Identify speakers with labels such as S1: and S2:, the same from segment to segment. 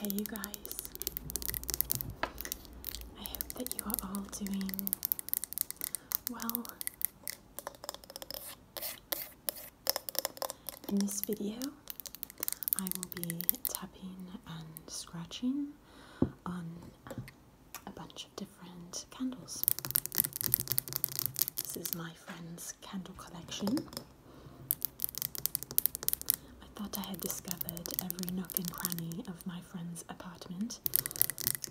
S1: Hey, you guys. I hope that you are all doing well. In this video, I will be tapping and scratching on a bunch different candles. This is my friend's candle collection. I thought I had discovered every nook and cranny of my friend's apartment,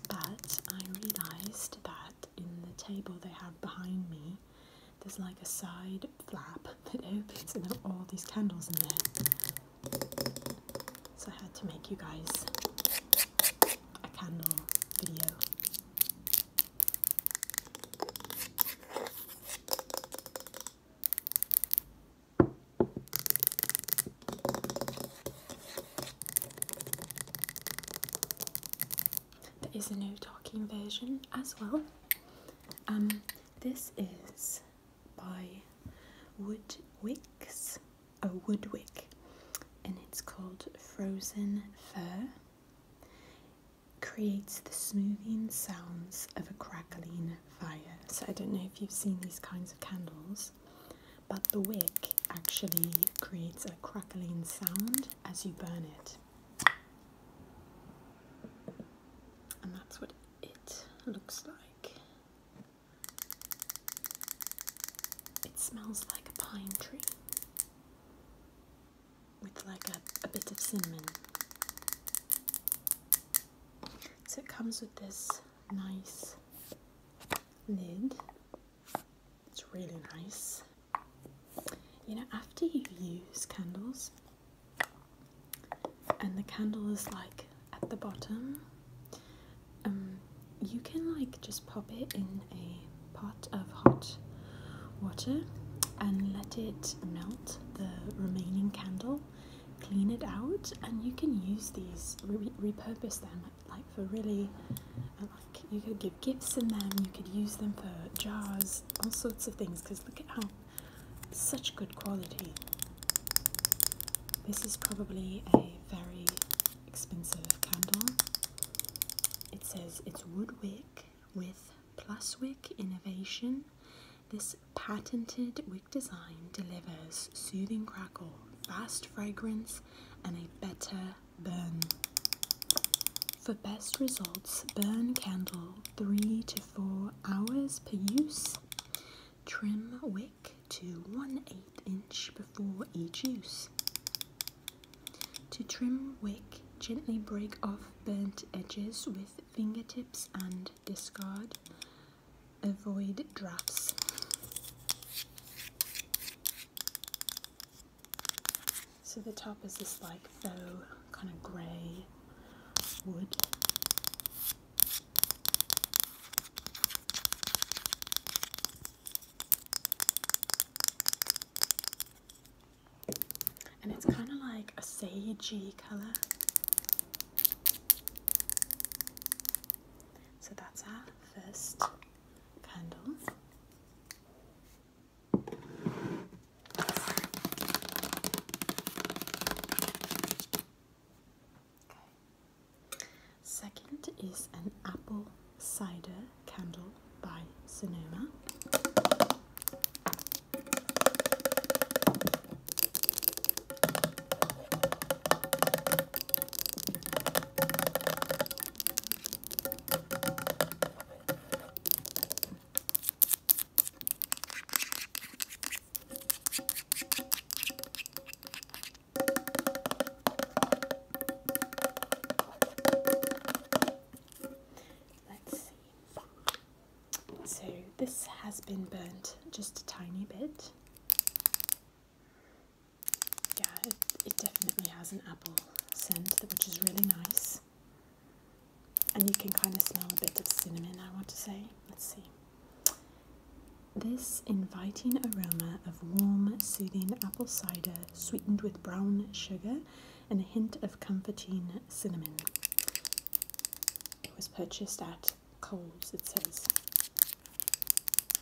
S1: but I realized that in the table they have behind me, there's like a side flap that opens and there are all these candles in there. So I had to make you guys a candle video. There is a no talking version as well. Um, this is by Wood Wicks a woodwick and it's called Frozen fur. Creates the smoothing sounds of a crackling fire. So I don't know if you've seen these kinds of candles, but the wick actually creates a crackling sound as you burn it. And that's what it looks like. It smells like a pine tree with like a, a bit of cinnamon. So it comes with this nice lid. It's really nice. You know, after you use candles and the candle is like at the bottom um, you can like just pop it in a pot of hot water and let it melt the remaining candle, clean it out, and you can use these repurpose them like for really uh, like you could give gifts in them, you could use them for jars, all sorts of things. Because look at how such good quality. This is probably a very expensive candle. It says it's wood wick with Pluswick Innovation. This patented wick design delivers soothing crackle, fast fragrance, and a better burn. For best results, burn candle 3 to 4 hours per use. Trim wick to 1 8 inch before each use. To trim wick, gently break off burnt edges with fingertips and discard. Avoid drafts. So the top is this like faux kind of grey wood and it's kind of like a sagey color. So that's our first candle. Second is an apple cider candle by Sonoma. Let's see. So this has been burnt just a tiny bit. Yeah, it, it definitely has an apple scent, which is really nice. And you can kind of smell a bit of cinnamon, I want to say. Let's see. This inviting aroma of warm, soothing apple cider sweetened with brown sugar and a hint of comforting cinnamon. It was purchased at Coles, it says.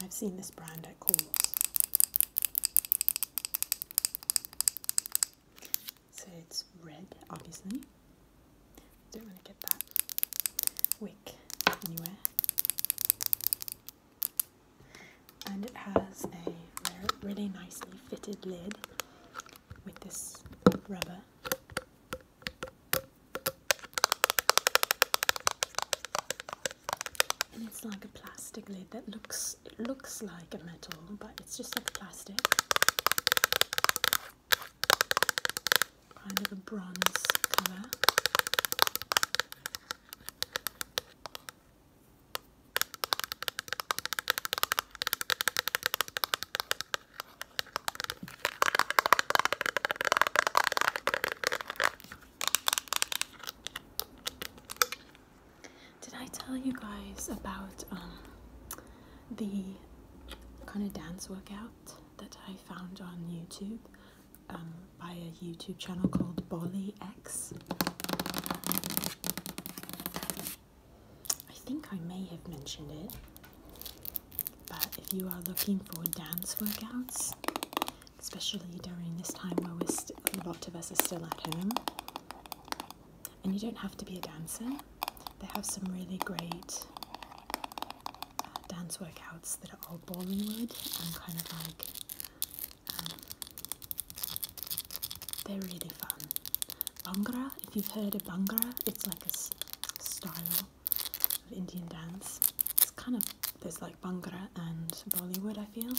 S1: I've seen this brand at Coles. So it's red, obviously. Don't want to get that wick anywhere and it has a really nicely fitted lid with this rubber. And it's like a plastic lid that looks looks like a metal, but it's just like plastic. Kind of a bronze colour. Did I tell you guys about um, the kind of dance workout that I found on YouTube? Um, by a YouTube channel called Bolly X. I think I may have mentioned it, but if you are looking for dance workouts, especially during this time where we're a lot of us are still at home, and you don't have to be a dancer, they have some really great uh, dance workouts that are all Bollywood and kind of like they're really fun. Bhangra, if you've heard of Bhangra, it's like a style of Indian dance. It's kind of, there's like Bhangra and Bollywood, I feel.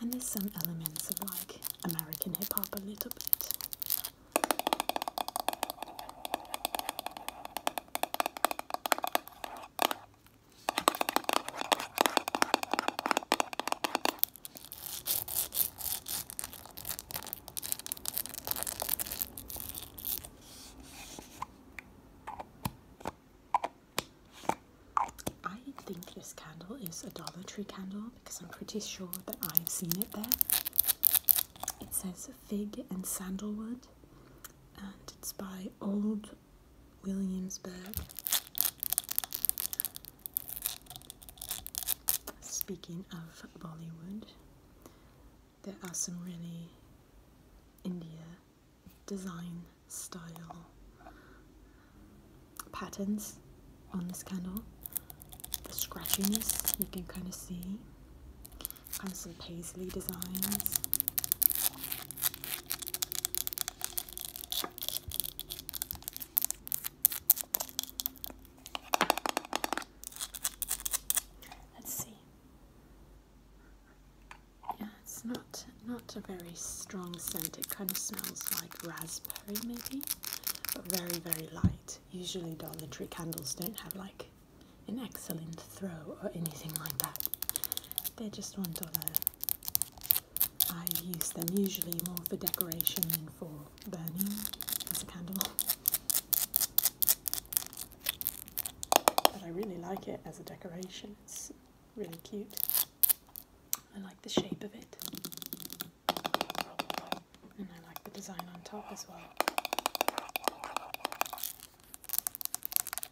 S1: And there's some elements of like American hip hop a little bit. I think this candle is a Dollar Tree candle because I'm pretty sure that I've seen it there. It says fig and sandalwood, and it's by Old Williamsburg. Speaking of Bollywood, there are some really India design style patterns on this candle. The scratchiness you can kind of see, kind of some paisley designs. Let's see. Yeah, it's not not a very strong scent. It kind of smells like raspberry maybe, but very very light. Usually Dollar Tree candles don't have like an excellent throw or anything like that. They're just one dollar I use them usually more for decoration than for burning as a candle. But I really like it as a decoration, it's really cute. I like the shape of it. And I like the design on top as well.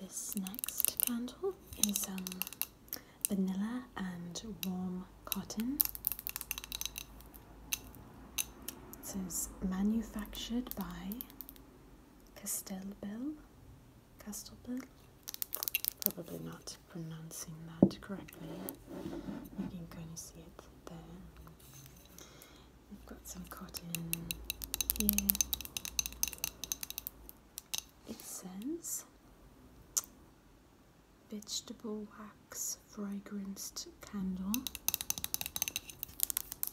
S1: This next candle is um, vanilla and warm cotton. It says manufactured by Castelbel. Castelbel? Probably not pronouncing that correctly. You can kind of see it there we have got some cotton here. It says vegetable wax fragranced candle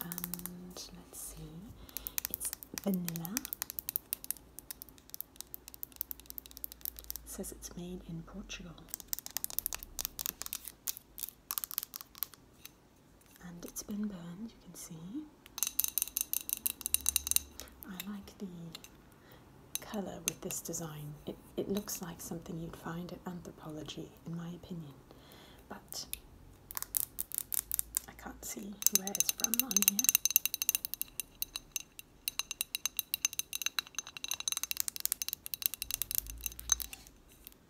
S1: and let's see it's vanilla it says it's made in Portugal and it's been burned, you can see. I like the colour with this design. It, it looks like something you'd find at anthropology, in my opinion, but I can't see where it's from on here.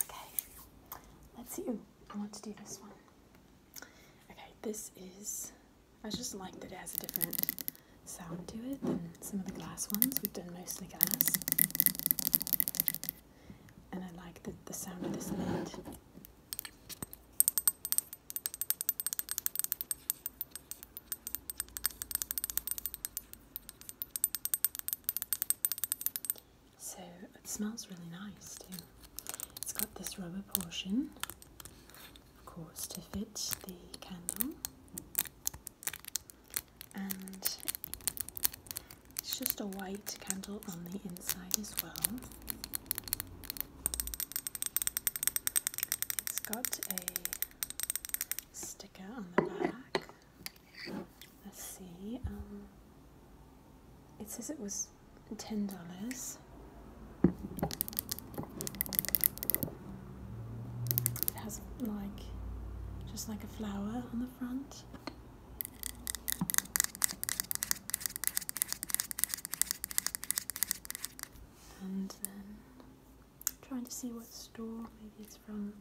S1: Okay, let's I want to do this one. Okay, this is. I just like that it has a different sound to it than some of the glass ones. We've done mostly glass. And I like the, the sound of this lid. So it smells really nice too. It's got this rubber portion, of course, to fit the candle. And it's just a white candle on the inside as well. It's got a sticker on the back Let's see. Um, it says it was ten dollars. It has like just like a flower on the front. And then trying to see what store maybe it's from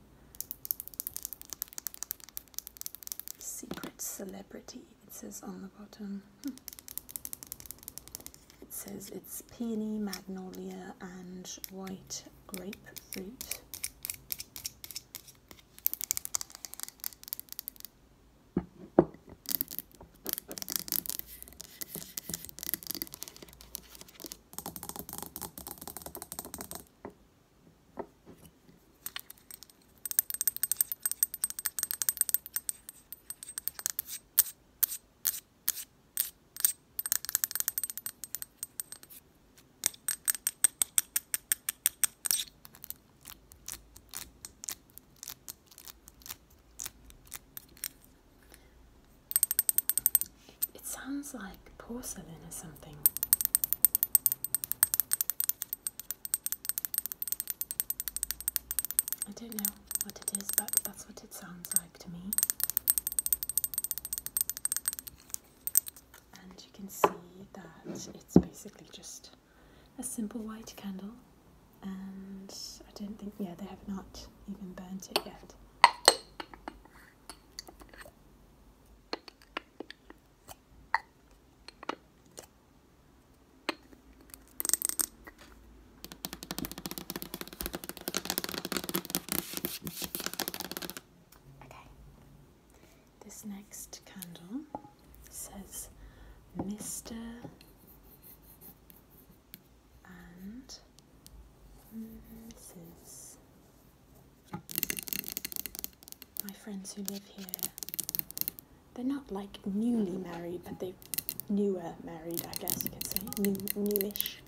S1: secret celebrity, it says on the bottom. Hmm. It says it's peony, magnolia, and white grapefruit. It sounds like porcelain or something. I don't know what it is, but that's what it sounds like to me. And you can see that it's basically just a simple white candle. And I don't think, yeah, they have not even burnt it yet. Okay. This next candle says Mr. and Mrs my friends who live here, they're not like newly married, but they're newer married, I guess you could say, new, newish.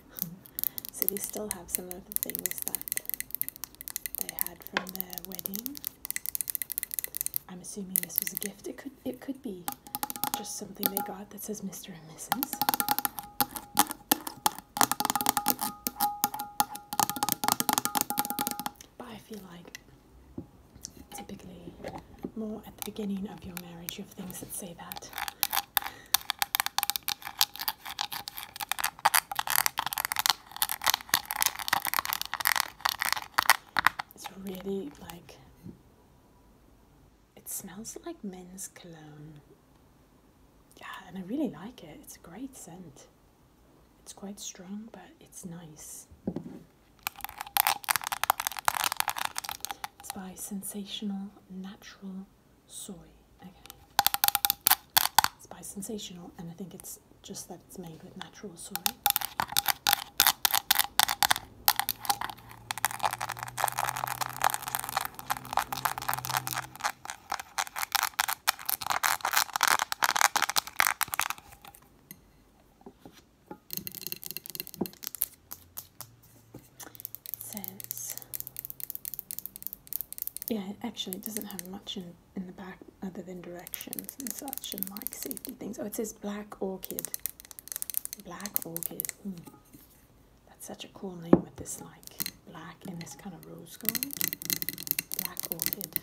S1: so they still have some of the things that they had from their wedding. I'm assuming this was a gift. It could it could be just something they got that says Mr. and Mrs. But I feel like typically more at the beginning of your marriage, you have things that say that. It's really like it smells like men's cologne. Yeah, and I really like it. It's a great scent. It's quite strong, but it's nice. It's by Sensational Natural Soy. Okay. It's by Sensational, and I think it's just that it's made with natural soy. It yeah, actually, it doesn't have much in, in the back other than directions and such and like safety things. Oh, it says Black Orchid. Black Orchid. Hmm. That's such a cool name with this like black and this kind of rose black orchid.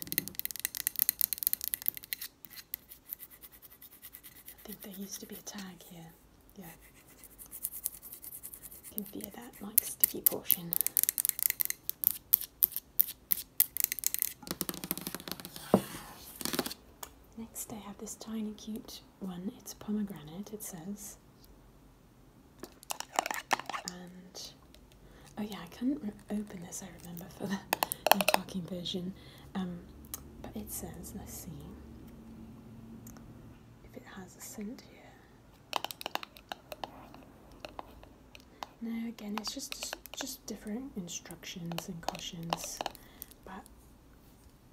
S1: I think there used to be a tag here. Yeah. I can feel that like sticky portion. Next I have this tiny cute one. It's pomegranate, it says oh yeah, I couldn't open this. I remember for the talking version, um, but it says let's see if it has a scent here. No, again, it's just just different instructions and cautions, but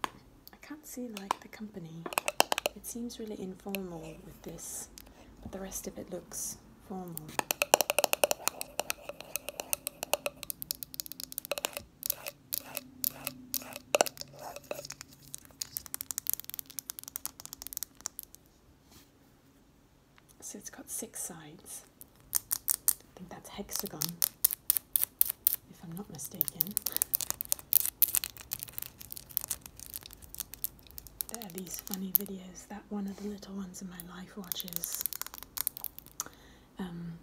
S1: I can't see like the company. It seems really informal with this, but the rest of it looks so it's got six sides. I think that's hexagon, if I'm not mistaken there are these funny videos that one of the little ones in my life watches. Um,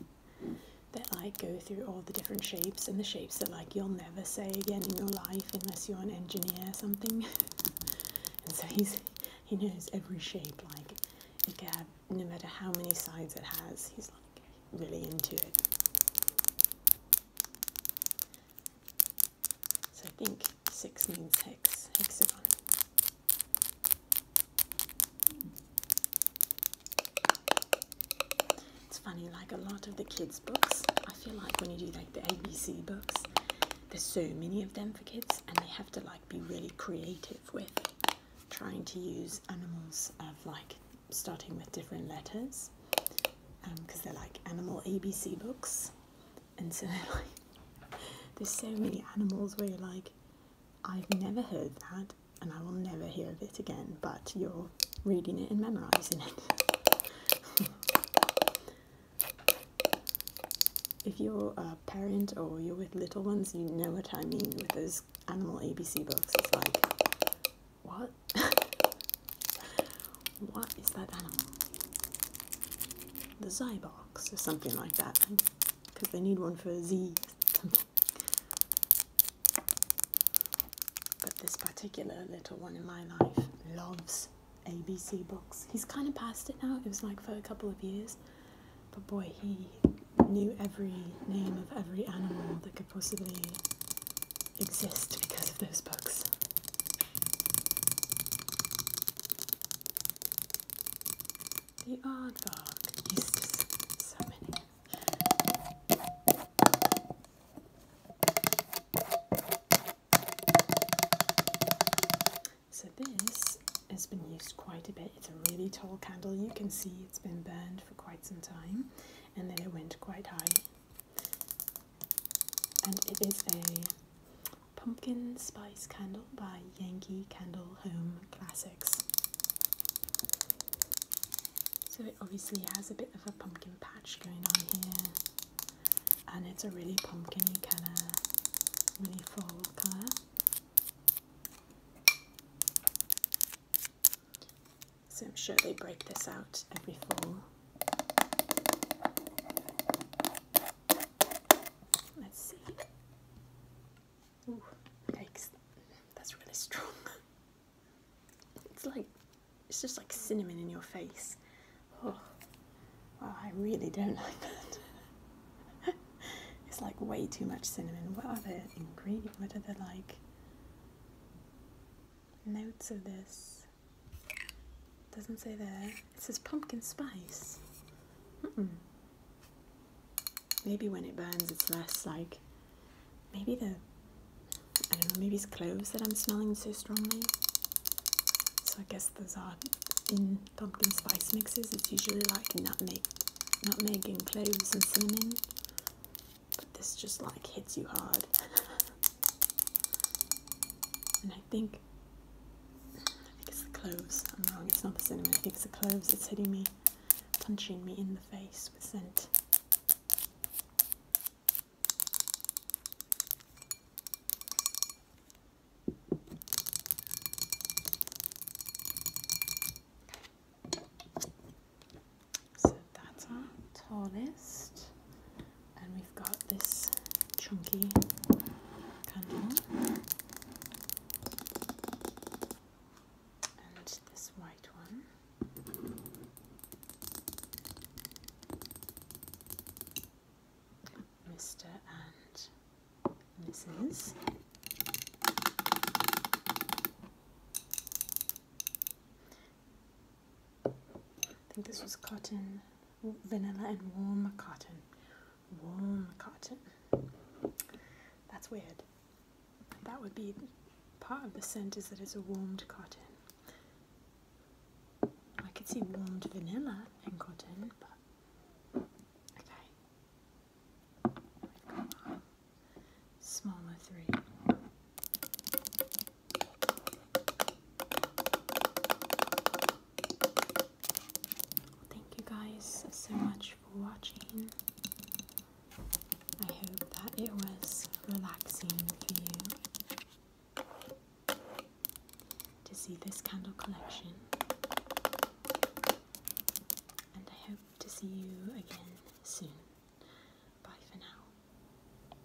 S1: that like go through all the different shapes and the shapes that like you'll never say again in your life unless you're an engineer or something. and so he's he knows every shape like it can uh, no matter how many sides it has. He's like really into it. So I think six means hex, hexagon. It's funny, like a lot of the kids' books, I feel like when you do like the ABC books, there's so many of them for kids and they have to like be really creative with trying to use animals of like starting with different letters because um, they're like animal ABC books and so there's so many animals where you're like I've never heard that and I will never hear of it again but you're reading it and memorizing it if you're a parent or you're with little ones you know what I mean with those animal ABC books it's like what What is that animal? The box or something like that. Because they need one for Z. but this particular little one in my life loves ABC books. He's kind of passed it now. It was like for a couple of years. But boy, he knew every name of every animal that could possibly exist because of those books. The Aardvark uses so many. So this has been used quite a bit. It's a really tall candle. You can see it's been burned for quite some time and then it went quite high and it is a pumpkin spice candle by Yankee Candle Home Classics. So it obviously has a bit of a pumpkin patch going on here, and it's a really pumpkiny of, really fall colour. So I'm sure they break this out every fall. Let's see. Ooh, yikes. That's really strong. It's like, it's just like cinnamon in your face. Oh, wow, I really don't like that. it's like way too much cinnamon. What are the ingredients? What are the like notes of this? Doesn't say there. It says pumpkin spice. Hmm. Maybe when it burns, it's less like. Maybe the. I don't know, maybe it's cloves that I'm smelling so strongly. So I guess those are in pumpkin spice mixes. It's usually like nutmeg, nutmeg and cloves and cinnamon. But this just like hits you hard. and I think I think it's the cloves. I'm wrong, it's not the cinnamon. I think it's the cloves. It's hitting me, punching me in the face with scent. So that's our tallest and we've got this chunky candle and this white one. Mr. and Mrs. I think this was cotton, vanilla and warm cotton. Warm cotton. That's weird. That would be part of the scent is that it's a warmed cotton. I could see warmed vanilla and cotton, but okay. Smaller three. Thank you guys so much for watching. I hope that it was relaxing for you to see this candle collection. And I hope to see you again soon. Bye for now.